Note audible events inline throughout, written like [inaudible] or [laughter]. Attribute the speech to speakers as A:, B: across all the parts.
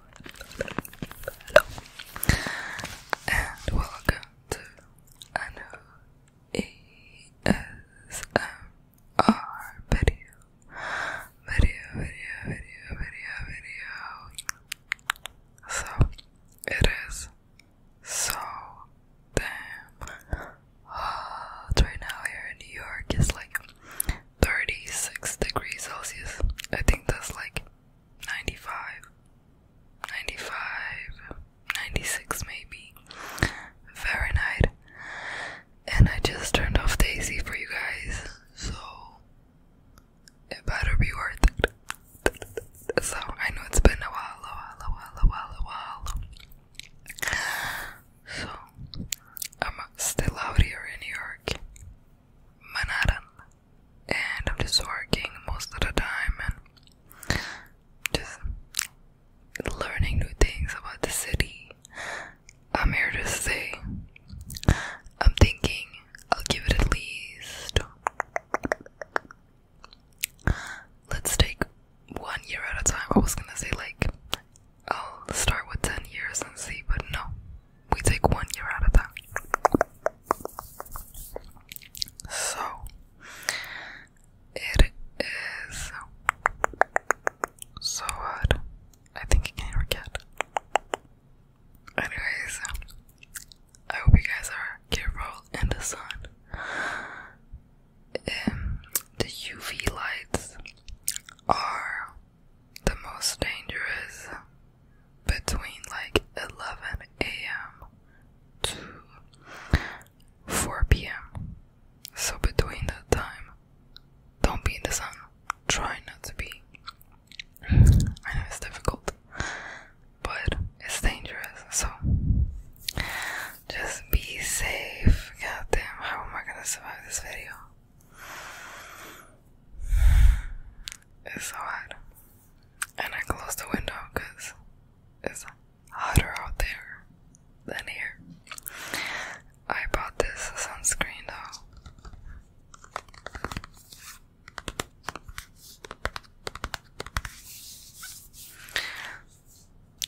A: Hello. And welcome to a Video, video, video, video, video. So, it is so damn hot right now here in New York. It's like 36 degrees Celsius. I think that's like 95, 95, 96 maybe Fahrenheit. And I just turned off the AC for you guys, so it better be worth it. So I know it's been a while, a while, a while, a while, a while. So I'm still out here in New York. Manhattan, and I'm just working most of the time and just learning new things about the city. I'm here to stay. I'm thinking I'll give it at least. Let's take one year at a time. I was gonna say like I'll start with 10 years and see, but no, we take one year out of that. So, it is so hard. I think you can forget. Anyways, I hope you guys are careful in the sun. Um, the UV lights are the most dangerous between like 11 a.m. to 4 p.m. So between that time, don't be in the sun. Try not to be. I know it's difficult, but it's dangerous. So just be safe. God damn, how am I gonna survive this video? It's so hot. And I closed the window because it's hotter out there than here. I bought this sunscreen though.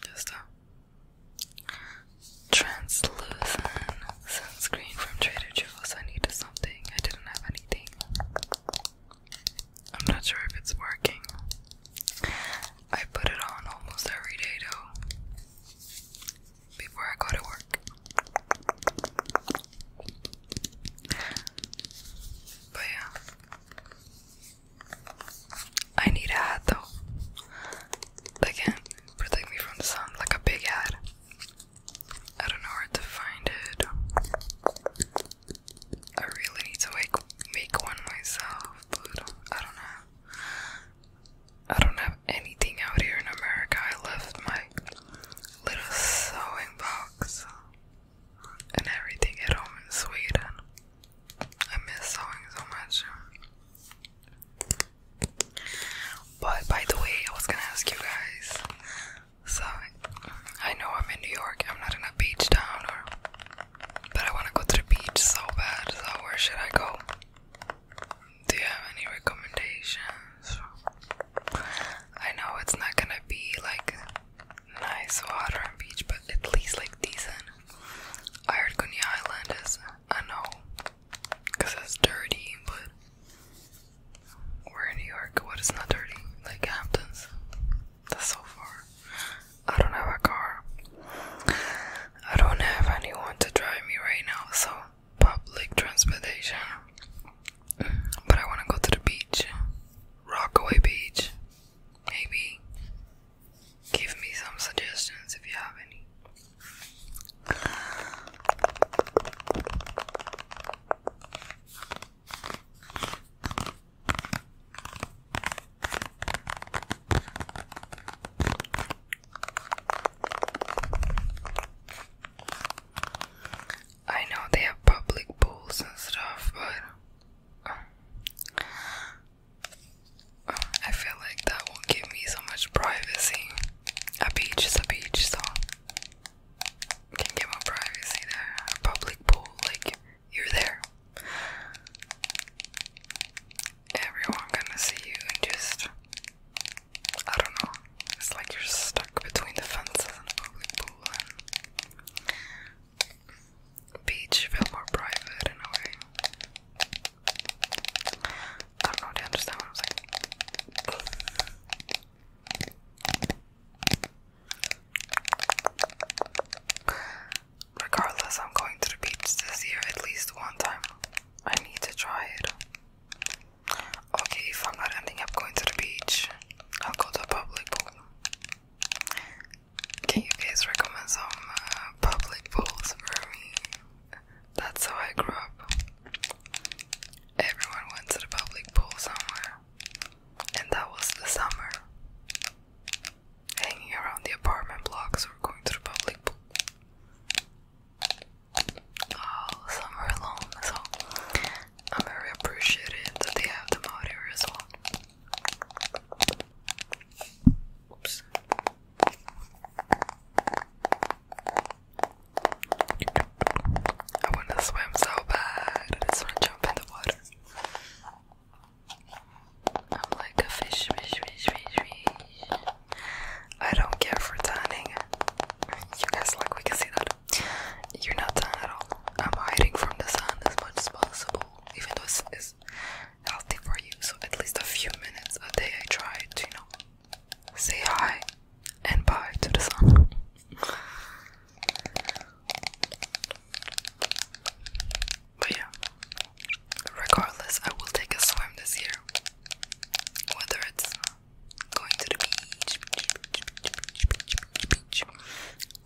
A: Just a uh, translucent sunscreen from Trader Joe's. I needed something. I didn't have anything. I'm not sure if it's working. I put it on almost every day though. Before I go to work. But yeah. I need a hat though. Again, Protect me from the sun like a big ad. I don't know where to find it. I really need to make one myself, but I don't know. I don't have anything out here in America. I left my little sewing box and everything at home in Sweden. I miss sewing so much. But by the way, I was gonna ask you guys. So I know I'm in New York. I'm not in a beach town, or but I want to go to the beach so bad. So where should I go? Do you have any recommendations? I know it's not gonna be like nice water and beach, but at least like decent. I heard Coney Island is I know, cause that's dirty, but we're in New York. What is not dirty? Like Hamptons. That's so far. I don't have a car. I don't have anyone to drive me right now, so public transportation. But I want to go to the beach, Rockaway Beach, maybe give me some suggestions if you have any. I know they have public pools and stuff, but um, I feel like that won't give me so much privacy. A beach is a beach, so can get more privacy there. A public pool, like you're there. Everyone gonna see you and just I don't know. It's like you're stuck between the fences and the public pool beach feel more private in a way. I Regardless, I'm going to the beach this year at least one time. I need to try it. Okay, if I'm not ending up going to the beach, I'll go to a public pool. Can you guys recommend some uh, public pools? for me. That's how I grew up. Everyone went to the public pool somewhere, and that was the summer. Hanging around the apartment blocks or going to the public pool. All summer long, so I'm very appreciative that they have them out here as well. Oops. I want to swim so bad. I just want to jump in the water. I'm like a fish, fish, fish, fish, fish. I don't care for tanning. You guys like we can see that. You're not tan at all. I'm hiding from the sun as much as possible, even though it's, it's healthy for you. So at least a few minutes a day I try to, you know, say hi and bye to the sun. But yeah, regardless, I will take a swim this year. Whether it's going to the beach,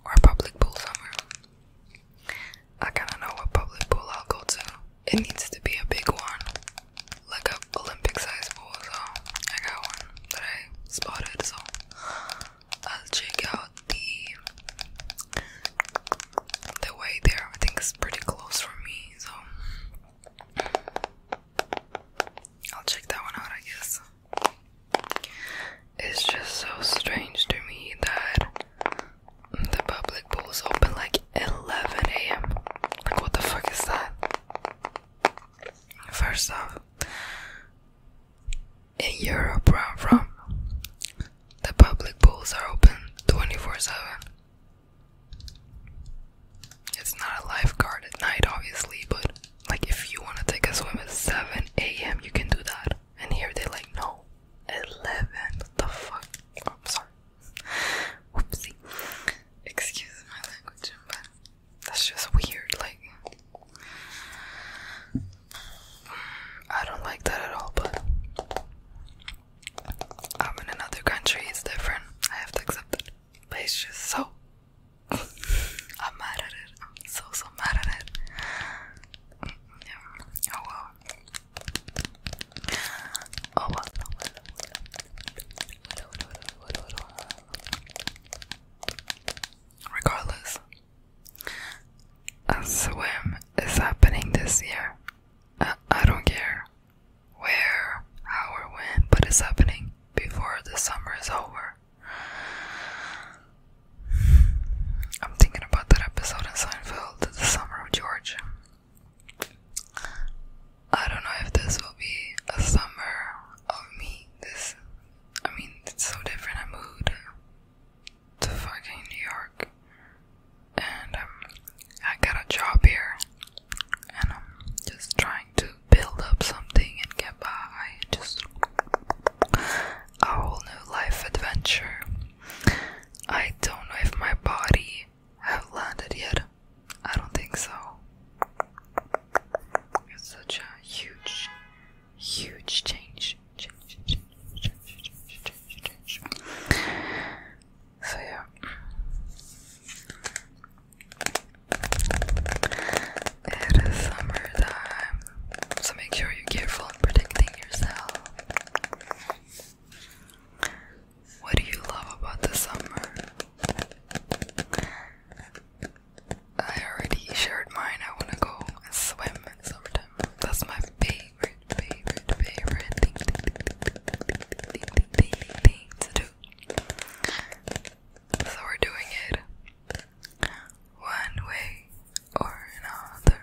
A: or a public pool somewhere. I kind of know what public pool I'll go to. It needs to be a big one, like a Olympic size pool. So I got one that I spotted. So I'll check out the the way there. I think it's pretty close for me. So I'll check that one out. I guess. It's just so strange to me that the public pools open like 11 a.m. Like, what the fuck is that? First off, in Europe, where I'm from, the public pools are open 24 7. It's not a lifeguard at night, obviously, but like if you want to take a swim at 7 a.m., you can do that. And here they're like, no, 11. What the fuck? Oh, I'm sorry. [laughs] Whoopsie. Excuse my language, but that's just weird. Like, I don't like that at all, but I'm in another country, it's different. I have to accept it. But it's just so. [laughs] I'm mad at it. I'm so, so mad at it. Oh Oh Regardless, a swim is happening this year. I, I don't care where, how, or when, but it's happening before the summer is over. I'm thinking about that episode in Seinfeld, The Summer of George. I don't know if this will be a summer of me. This, I mean, it's so different. I moved to fucking New York, and um, I got a job here, and I'm just trying to build up something and get by. Just a whole new life adventure. I don't know if my body have landed yet. I don't think so. It's such a huge, huge change. So yeah. It is summertime, so make sure you're careful and protecting yourself. What do you love about the summer? I already shared mine. I want to go swim in summertime. That's my favorite, favorite, favorite thing to do. So we're doing it one way or another.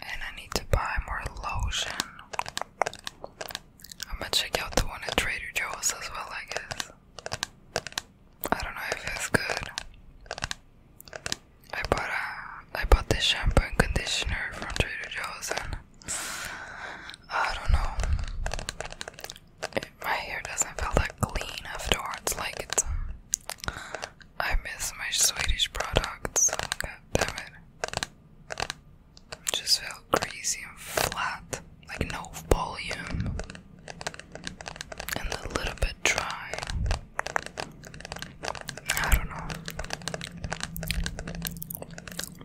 A: And I need to buy more lotion. I'm gonna check out the one at Trader Joe's as well, I guess. I don't know if it's good. I bought a, uh, I bought this shampoo and conditioner from Trader Joe's and I don't know. my hair doesn't feel that clean afterwards. Like it's. Um, I miss my Swedish products. God damn it. it just feel greasy and flat. Like no volume. And a little bit dry. I don't know.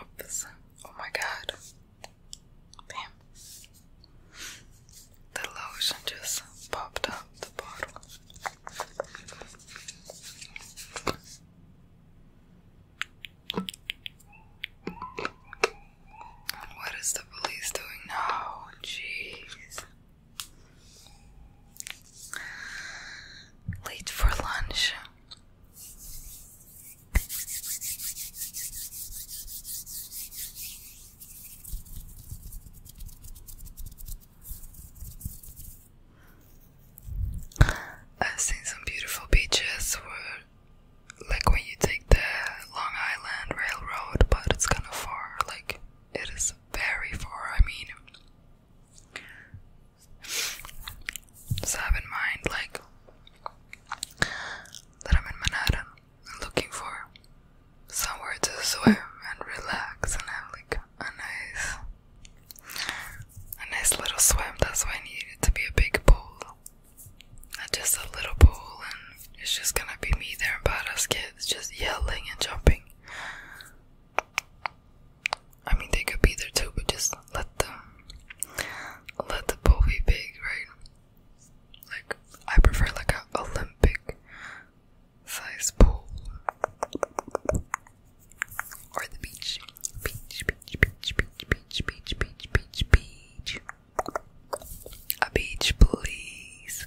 A: Oops. Oh my god. Bam. The lotion just popped out the bottle. What is the police doing now? Jeez. Late for lunch. I've seen some beautiful beaches where, like, when you take the Long Island Railroad, but it's kind of far. Like, it is very far. I mean, so I in mind, like, that I'm in Manhattan looking for somewhere to swim and relax and have, like, a nice a nice little swim. That's why I need it to be a big pool. Not just a little pool, and it's just gonna be me there and badass kids just yelling and jumping. I mean, they could be there too, but just let them, let the pool be big, right? Like, I prefer like an Olympic size pool or the beach. Beach, beach, beach, beach, beach, beach, beach, beach, beach. A beach, please.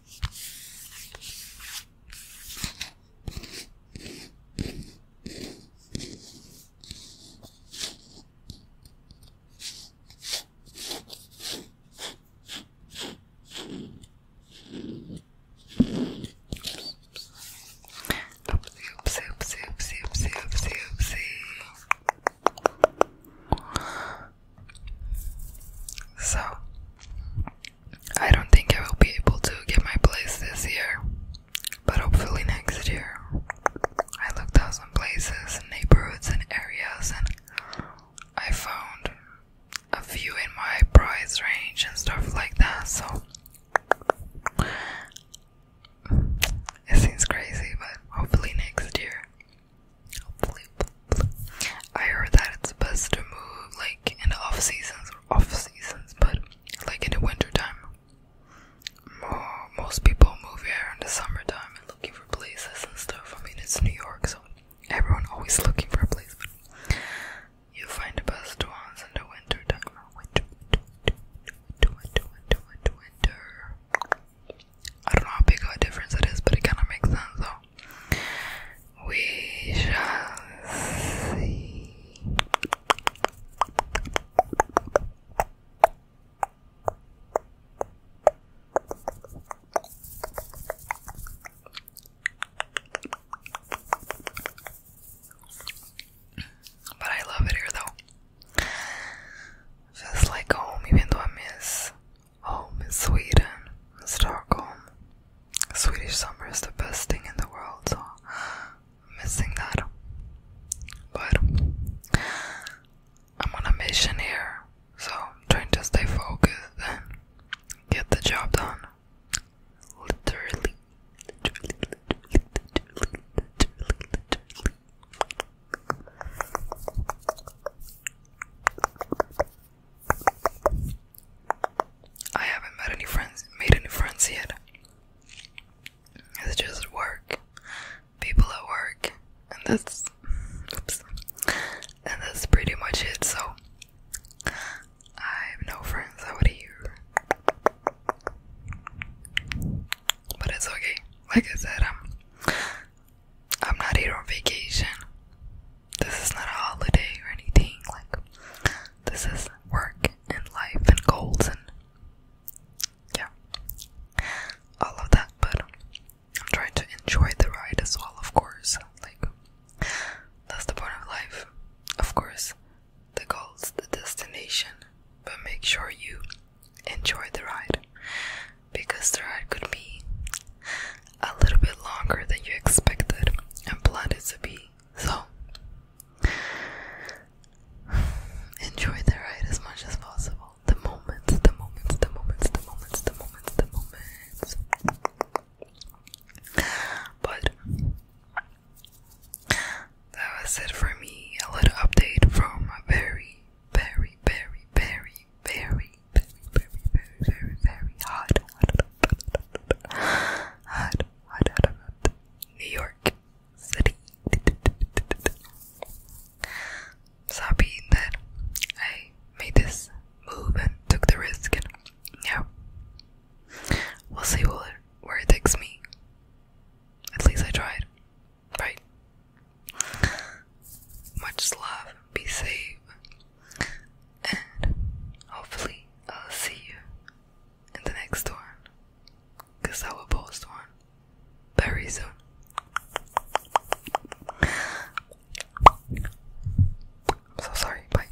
A: Oopsie, oopsie, oopsie, oopsie, oopsie, oopsie. So, I don't think I will be able to get my place this year, but hopefully next year. I looked out some places, and neighborhoods, and areas, and I found a few in my price range and stuff like that. So, it seems crazy, but hopefully next year I heard that it's best to move like in the off seasons or off seasons, but like in the winter time. More, most people move here in the summertime and looking for places and stuff. I mean, it's New York, so everyone always looking for a place. But you find the best ones in the winter time. winter, winter, winter, winter. I don't know how big of a difference it is, but it kind of makes sense though. We shall see. But I love it here though. Feels like home, even though I miss Home is Sweden, Stockholm. Swedish summer is the best thing in the world, so I'm missing that. But I'm on a mission here, so I'm trying to stay focused and get the job done. literally, I haven't met any friends, made any friends yet. It's just work, people at work, and that's, oops, and that's pretty much it. So I have no friends out here, but it's okay. Like I said, i I'm not here on vacation. This is not a holiday or anything. Like, this is work and life and goals and yeah, all of that. But I'm trying to enjoy the ride as well, of course. Like, that's the point of life, of course. The goal's the destination, but make sure you enjoy the ride because the ride could be a little bit longer than you expected and planned it to be. So, enjoy the ride as much as possible. The moments, the moments, the moments, the moments, the moments, the moments. But that was it for me. A little update from a very, very, very, very, very, very, very, very, very, very hot, hot, hot, hot, New York City. So happy that I made this move and took the risk, and yeah, we'll see where it takes me. At least I tried. Right. [laughs] Much love, be safe, and hopefully I'll see you in the next one. Cause I will post one very soon. I'm so sorry. Bye.